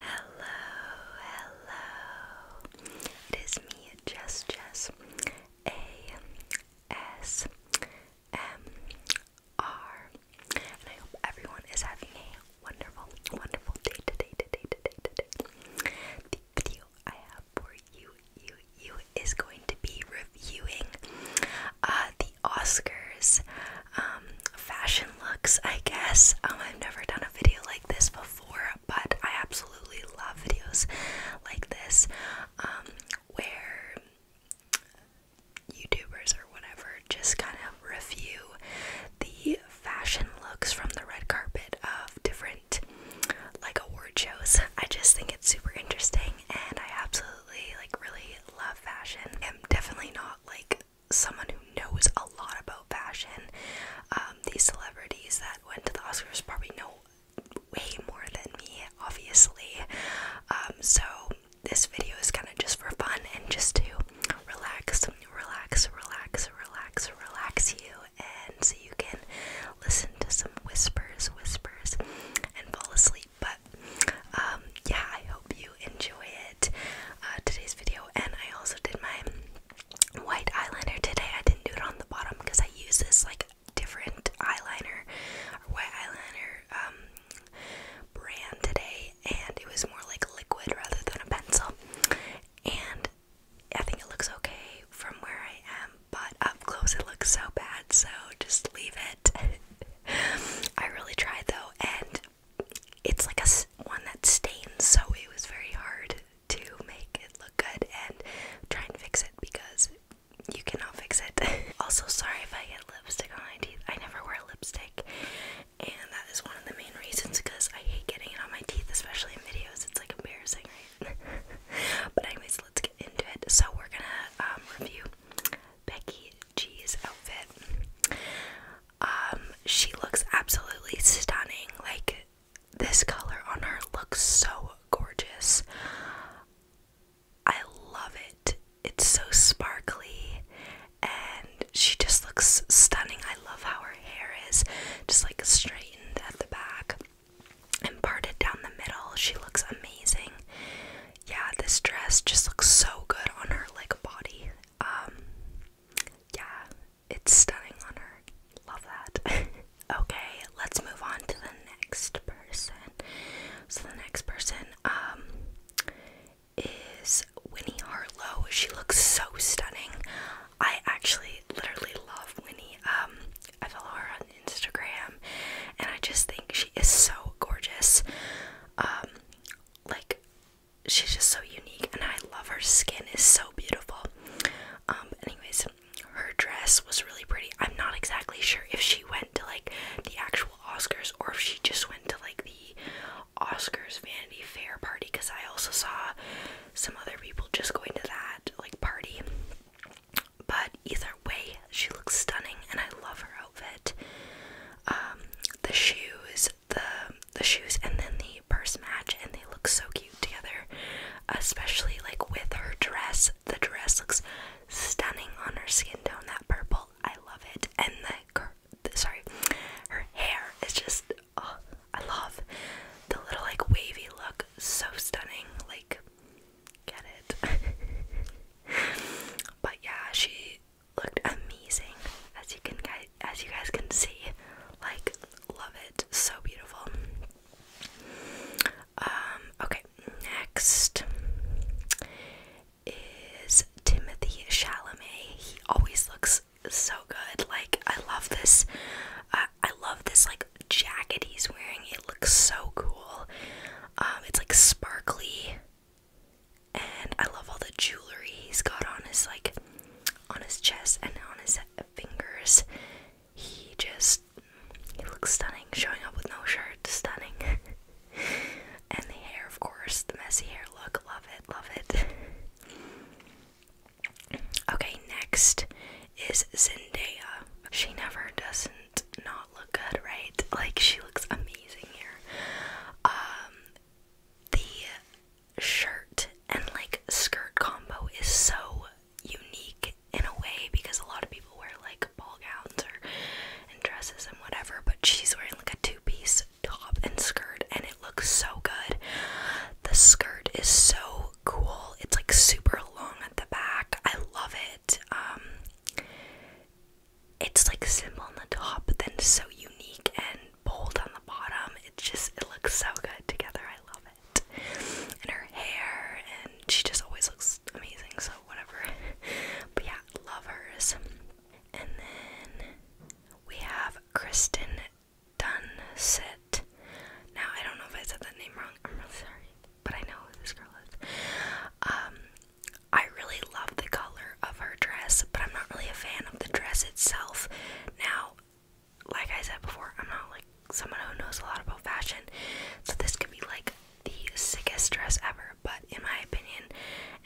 Hello, hello. It is me, Jess Jess. A S M R. And I hope everyone is having a wonderful, wonderful day today, today, today, today. The video I have for you, you, you is going to be reviewing uh, the Oscars um, fashion looks, I guess. Um, I've never done a video like this before, but I absolutely love videos like this um, where YouTubers or whatever just kind of review the fashion looks from the red carpet of different like award shows. I just think it's super interesting and I absolutely like really love fashion. I'm definitely not like someone who knows a lot about fashion. Um, these celebrities that went to the Oscars probably know way more than me, obviously. Um, so this video is kind of just for fun and just to relax, relax, relax, relax, relax you, and so you can listen to some whispers, whispers, and fall asleep. But um, yeah, I hope you enjoy it. Uh, today's video and I also did my white eyeliner today. I didn't do it on the bottom because I use this like different eyeliner or white eyeliner um, brand today and it was more like liquid rather than a pencil. And I think it looks okay from where I am, but up close it looks so bad, so just leave it. I really tried though and it's like a one that stains, so it was very hard to make it look good and try and fix it because you cannot fix it. also, sorry if I get lipstick on my teeth. I never wear lipstick, and that is one of the main reasons because I hate getting it on my teeth, especially in videos. It's like embarrassing, right? but anyways, let's get into it. So we're gonna um, review Becky G's outfit. Um, she looks absolutely stunning. Like this color on her looks so gorgeous. I love it. It's so sparkly and she just looks stunning. I love how her hair is just like straightened at the back and parted down the middle. She looks amazing. Yeah, this dress just looks so good on her like body. Um, yeah, it's stunning on her. Love that. okay, let's move on to the next person. So the next person, um, is Winnie Harlow. She looks so stunning. I actually literally love Winnie. Um, I follow her on Instagram and I just think she is so gorgeous. Um, like she's just so unique and I love her skin is so beautiful. Um anyways, her dress was really pretty. I'm not exactly sure if she went to like the actual Oscars or if she just went to like the Oscars Vanity Fair party cuz I also saw some other people just going to that like party. But either way, she looks stunning and I love her outfit. Um the shoes, the the shoes and then the purse match and they look so cute together especially like with her dress the dress looks stunning on her skin tone that purple i love it and the, sorry her hair is just oh i love the little like wavy look so stunning like get it but yeah she looked amazing, as you can guys, as you guys can see. Like, love it, so beautiful. Um, okay, next is Timothy Chalamet. He always looks so good. Like, I love this. Uh, I love this like jacket he's wearing. It looks so cool. Um, it's like sparkly and I love all the jewelry he's got on his like on his chest and on his fingers. He just he looks stunning, showing up with no shirt, stunning. and the hair, of course, the messy hair look, love it, love it. okay, next is Zendaya. She never doesn't not look good, right? Like she looks amazing here. Um the shirt and like skirt combo is so unique in a way because a lot of people wear like ball gowns or and dresses and whatever, but she's wearing like a two-piece top and skirt and it looks so good. The skirt is so cool. It's like super long at the back. I love it. Um, it's like simple on the top, but then so unique and bold on the bottom. It just, it looks so good together. I love it. And her hair, and she just always looks amazing, so whatever. But yeah, love hers. And then we have Kristen Dunset. Now, I don't know if I said that name wrong. I'm really sorry, but I know who this girl is. Um, I really love the color of her dress, but I'm not really a fan of the dress itself. Now, like I said before, I'm not like someone who knows a lot about fashion, so this could be like the sickest dress ever. But in my opinion,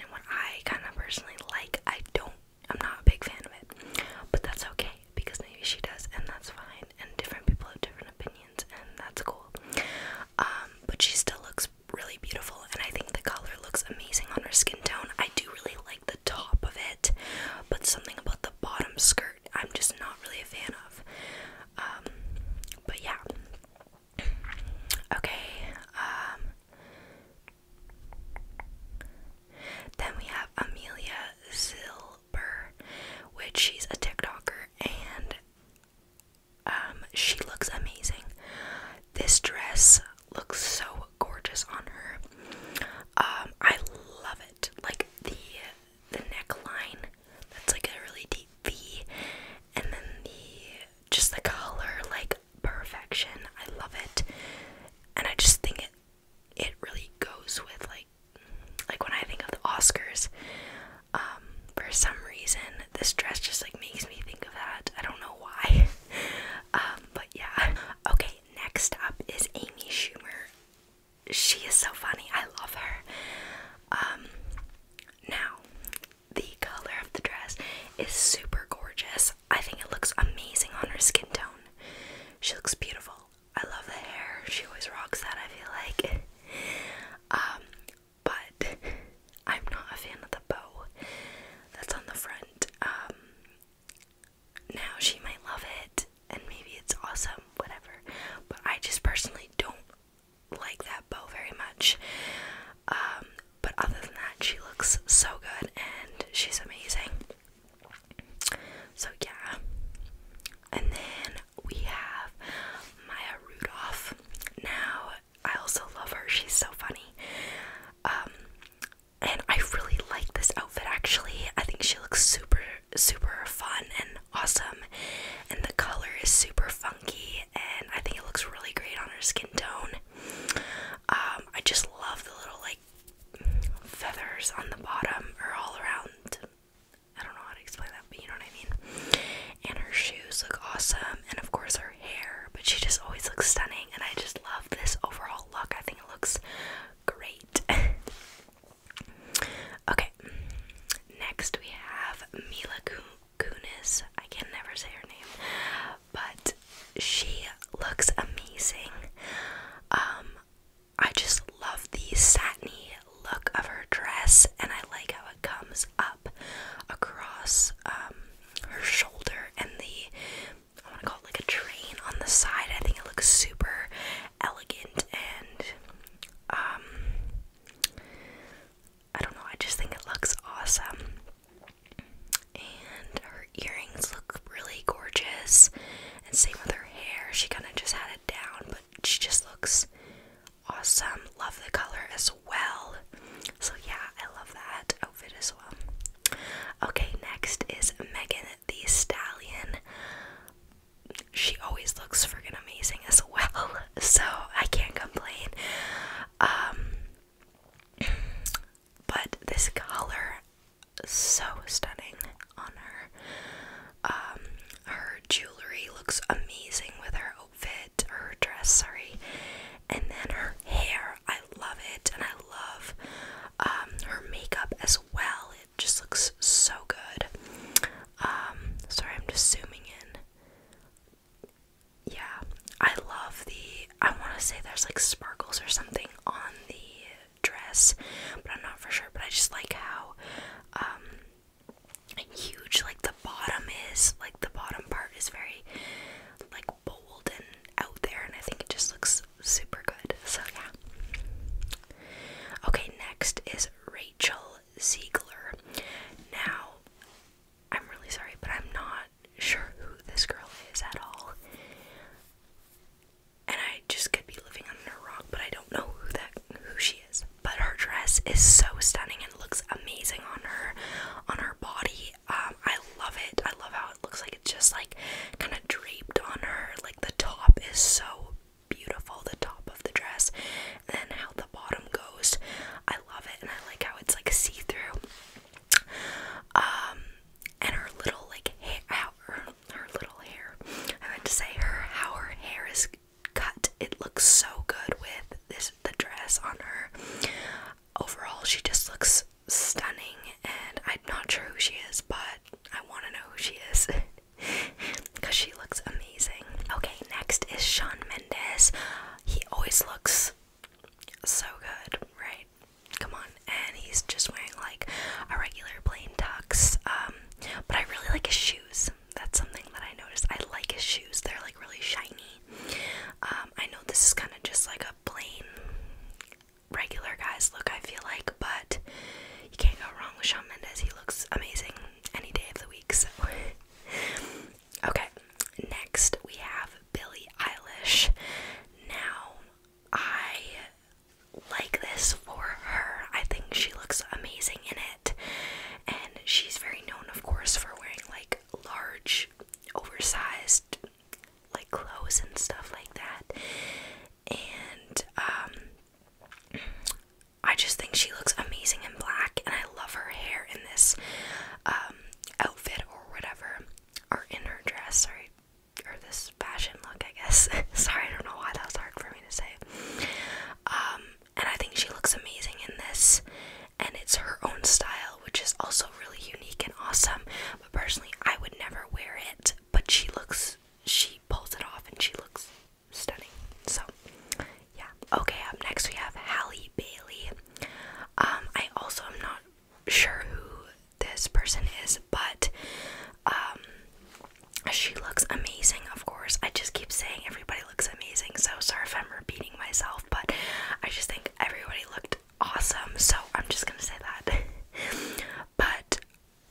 and what I kind of personally like, I don't, I'm not a big fan of it. But that's okay because maybe she does, and that's fine. And different people have different opinions, and that's cool. Um, but she still looks really beautiful, and I think the color looks amazing on her skin tone. I do really like the top of it, but something about the bottom skirt I'm just not really a fan of. Um, but yeah. Okay. Um, then we have Amelia Zilber, which she's a TikToker, and um, she looks amazing. This dress looks so gorgeous on her. Um, I love it. Like the the neckline, that's like a really deep V, and then the just the color, like perfection. I love it, and I just think it it really goes with like like when I think of the Oscars, um, for some reason, this dress just like makes me think of that. I don't know why. Um, but yeah. Okay, next up is Amy Schumer. She is so funny. I love her. Um, now, the color of the dress is super gorgeous. I think it looks amazing on her skin tone. She looks beautiful. I love the hair. She always rocks that, I feel like. but I'm not a fan of the bow that's on the front. Um, now she might love it, and maybe it's awesome, whatever, but I just personally don't like that bow very much. Um, but other than that, she looks so good and she's amazing. So, yeah. And then we have Maya Rudolph. Now, I also love her. She's so funny. Um, and I really like this outfit actually. I think she looks super, super fun and awesome. And the color is super funky, and I think it looks really great on her skin tone. Um, I just love the little like feathers on the bottom or all around. I don't know how to explain that you know what I mean? And her shoes look awesome, and of course her hair, but she just always looks stunning, and I just love this overall look. I think it looks great. okay, next we have Mila Kunis. I can never say her name, but she looks amazing. Um, I just love the satiny look of her dress, and I like how it comes up across um, her shoulder and the I want to call it like a train on the side. I think it looks super elegant and um, I don't know, I just think it looks awesome. And her earrings look really gorgeous. And same with her hair. She kind of just had it down, but she just looks awesome. Love the color as well. So, yeah, I love that outfit as well. Okay, next is Megan the Stallion. She always looks freaking amazing as well, so I can't complain. Um, but this color, so stunning on her. Um, her jewelry looks amazing with her outfit her dress, sorry. And then her hair, I love it, and I love um, her makeup as well. It just looks so good. Um, sorry, I'm just zooming in. Yeah, I love the. I want to say there's like sparkles or something on the dress, but I'm not for sure. But I just like how um, huge like the bottom is like the bottom part is very like bold and out there and I think it just looks super good so yeah okay next is Rachel Ziegler now I'm really sorry but I'm not sure who this girl is at all and I just could be living under a rock but I don't know who that who she is but her dress is so stunning and looks amazing on her on her body um, i love it i love how it looks like it's just like kind of draped on her like the top is so beautiful the top of the dress and then how the bottom goes i love it and i like how it's like see-through um and her little like hair her, her little hair i meant to say her how her hair is cut. It looks so good with this the dress on her. Overall, she just looks stunning, and I'm not sure who she is, but I want to know who she is because she looks amazing. Okay, next is Sean Mendes. He always looks so good, right? Come on, and he's just wearing like a regular plain tux. Um, but I really like his shoes. That's something that I noticed. I like his shoes. They're like really shiny. Um, I know this is kind of just like a plain regular guy's look, I feel like, but you can't go wrong with Shawn Mendes. He looks amazing any day of the week, so okay. Next we have Billie Eilish. Now I like this for her. I think she looks amazing in it. And she's very known, of course, for wearing like large, oversized like clothes and stuff like that. And um, I just think she looks amazing in black and I love her hair in this um, outfit or whatever or in her dress, sorry, or this fashion look I guess. sorry, I don't know why that was hard for me to say. Um, and I think she looks amazing in this. And it's her own style, which is also really unique and awesome. But personally, I would never wear it. But she looks, she pulls it off, and she looks stunning. So, yeah. Okay, up next we have Halle Bailey. Um, I also am not sure who this person is, but um, she looks amazing, of course. I just keep saying everybody looks amazing, so sorry if I'm repeating myself, but I just think everybody looked awesome, so I'm just gonna say that. but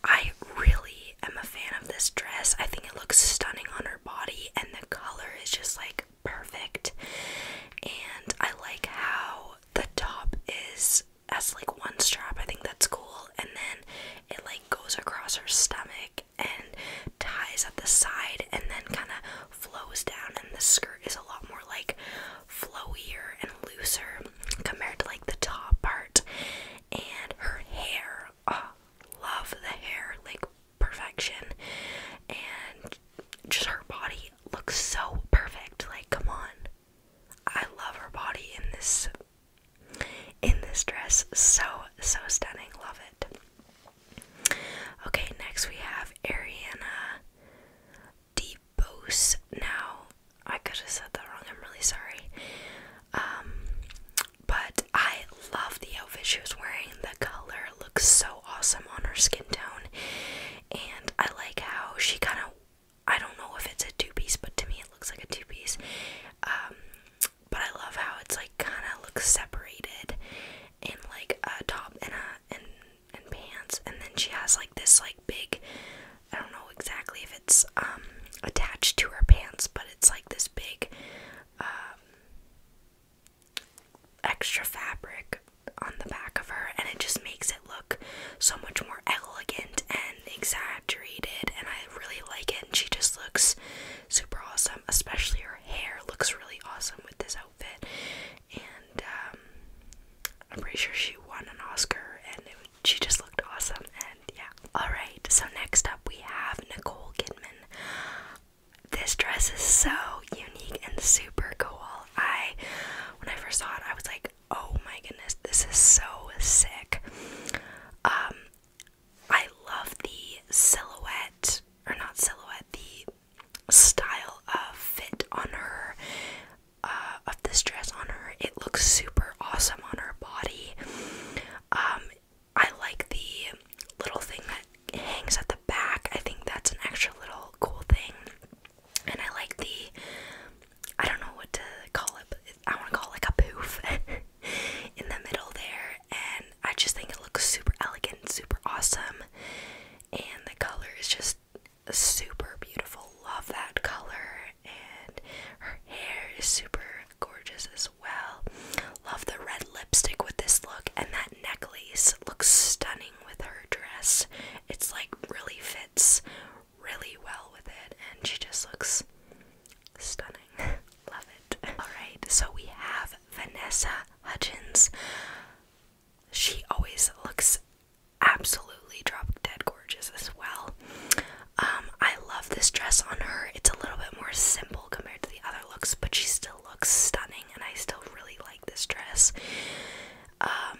I really am a fan of this dress. I think it looks stunning on her body, and the color is just like perfect. And I like how the top is as like one strap. I think that's cool, and then it like goes across her stomach and ties at the side and then kind of flows down and the skirt is a lot more like flowier and looser compared to like the top part and her hair oh, love the hair like perfection and just her body looks so perfect like come on I love her body in this in this dress. So, so stunning. Love it. Okay, next we have Ariana DeBose. Now, I could have said that wrong. I'm really sorry. Um, but I love the outfit she was wearing. The color looks so awesome on her skin tone. And I like how she kind of, I don't know if it's a two piece, but to me it looks like a two piece. Um, but I love how it's like kind of looks separated in like a top and a and and pants, and then she has like this like big. I don't know exactly if it's um attached to her pants, but it's like this big um extra fabric on the back of her and it just makes it look so much more elegant exaggerated, and I really like it. And she just looks super awesome, especially her hair looks really awesome with this outfit. And um, I'm pretty sure she won an Oscar, and she just looked awesome. And yeah, all right. So next up, we have Nicole Kidman. This dress is so unique and super cool. I, when I first saw it, I was like, oh my goodness, this is so sick. Um, I love the silhouette, or not silhouette, the style of fit on her, uh, of this dress on her. It looks super awesome on her body. Um, I like the little thing that hangs at the back. I think that's an extra little cool thing. And I like the, I don't know what to call it, but it, I want to call it like a poof. in the middle there, and I just think it looks super elegant, super awesome, and the color is just super beautiful. Love that color, and her hair is super gorgeous as well. Love the red lipstick with this look, and that necklace looks stunning with her dress. It's like really fits really well with it, and she just looks Stunning. Love it. Alright, so we have Vanessa Hudgens. She always looks absolutely drop dead gorgeous as well. Um, I love this dress on her. It's a little bit more simple compared to the other looks, but she still looks stunning, and I still really like this dress. Um,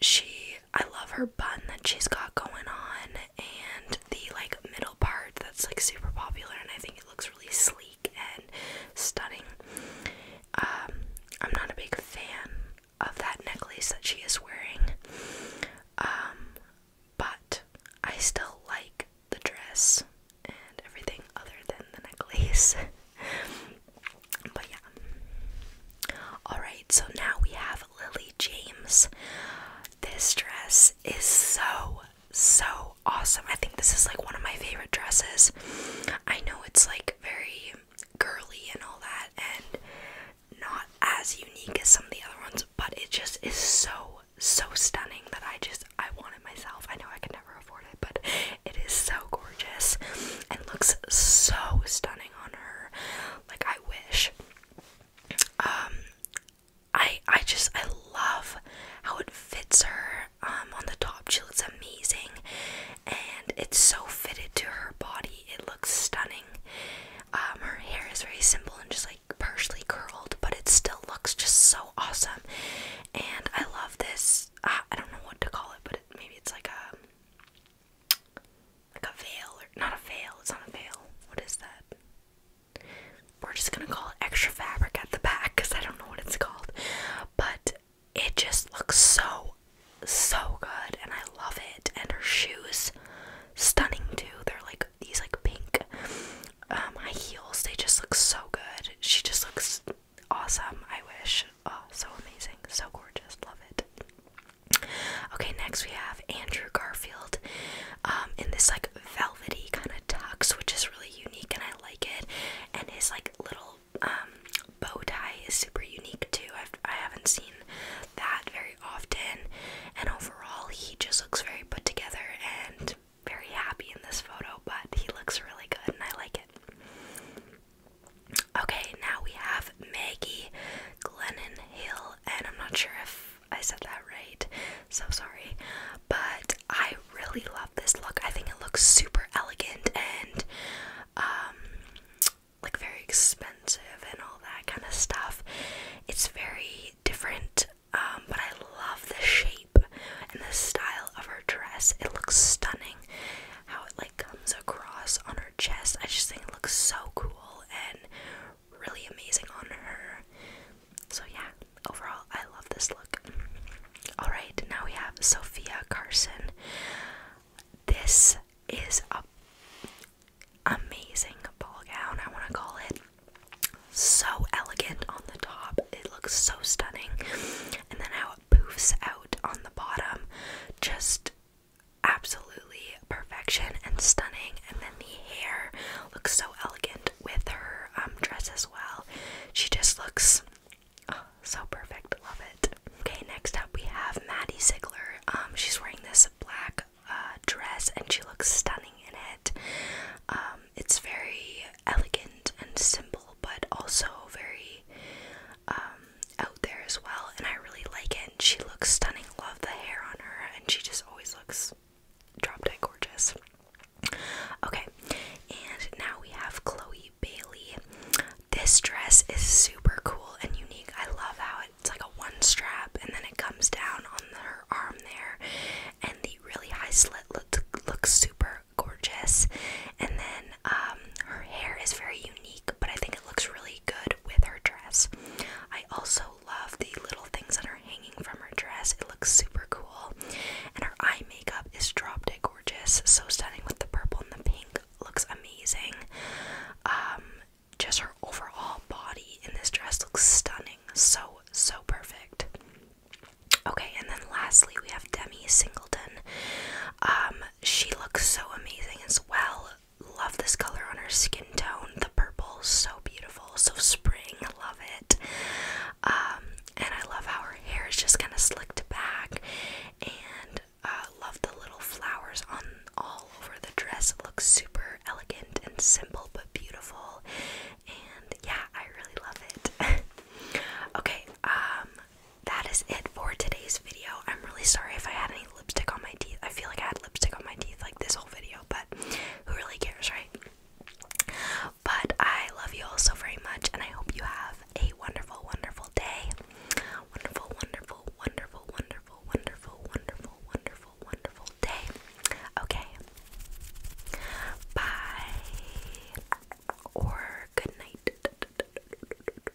she I love her bun that she's got going on and the like middle part that's like super popular and I think it looks really sleek and stunning. Um, I'm not a big fan of that necklace that she is wearing. Um, but I still like the dress and everything other than the necklace. but yeah. Alright, so now we have Lily James. This dress is so, so awesome. I think this is like one of my favorite dresses. I know it's like very girly and all that, and not as unique as some of the other ones, but it just is so, so stunning that I just, I want it myself. I know I can never afford it, but it is so gorgeous and looks so stunning on her. Like, I wish. Um, I I just I love how it fits her um, on the top she looks amazing and it's so fitted to her body it looks stunning um, her hair is very simple and just like partially curled but it still looks just so awesome and I love this uh, I don't know what to call it but it, maybe it's like a like a veil or not a veil, it's not a veil. What is that? We're just gonna call it extra fabric at the back because I don't know what it's called. But it just looks so so good and I love it. And her shoes stunning too. They're like these like pink um heels. They just look so good. She just looks awesome. I wish. Oh so amazing. So gorgeous. Love it. Okay, next we have Andrew Garfield um, in this like velvety kind of tux, which is really unique and I like it. And his like little um, bow tie is super unique too. I've, I i have not seen that very often. And overall, he just looks very put together and very happy in this photo, but he looks really good and I like it. Okay, now we have Maggie Glennon Hill, and I'm not sure if I said that right, so sorry. But I really love this look. I think it looks super elegant and um, like very expensive and all that kind of stuff. It's very different, um, but I love the shape and the style of her dress. It looks stunning how it like comes across on her chest. I just think it looks so cool and really amazing on her. So, yeah, overall, I love this look. Alright, now we have Sophia Carson. This is a amazing ball gown, I want to call it. So elegant on the top, it looks so stunning, and then how it poofs out on the bottom just absolutely perfection and stunning. And then the hair looks so elegant with her um, dress as well. She just looks oh, so perfect. Love it. Okay, next up we have Maddie Ziegler. Um, she's wearing this black uh, dress and she looks stunning in it. Um, it's very elegant and simple, but also very out there as well. And I really like it and she looks stunning. Love the hair on her, and she just always looks drop dead gorgeous. Okay, and now we have Chloe Bailey. This dress is super cool and unique. I love how it's like a one strap, and then it comes down on her arm there, and the really high slit looks super gorgeous. And then um, her hair is very unique but I think it looks really good with her dress. I also love the little things that are hanging from her dress. It looks super cool. And her eye makeup is drop dead gorgeous. So stunning with the purple and the pink. Looks amazing. Um, just her overall body in this dress looks stunning. So, so perfect. Okay, and then lastly, we have Demi Singleton. Um, she looks so amazing as well love this color on her skin tone. The purple, so beautiful, so spring. Love it. Um, and I love how her hair is just kind of slicked back. And uh, love the little flowers on all over the dress. It looks super elegant and simple, but beautiful. And yeah, I really love it. okay, um, that is it for today's video. I'm really sorry if I had any lipstick on my teeth. I feel like I had lipstick on my teeth like this whole video, but who really cares, right? But I love you all so very much, and I hope you have a wonderful, wonderful day. Wonderful, wonderful, wonderful, wonderful, wonderful, wonderful, wonderful, wonderful day. Okay. Bye. Or good night.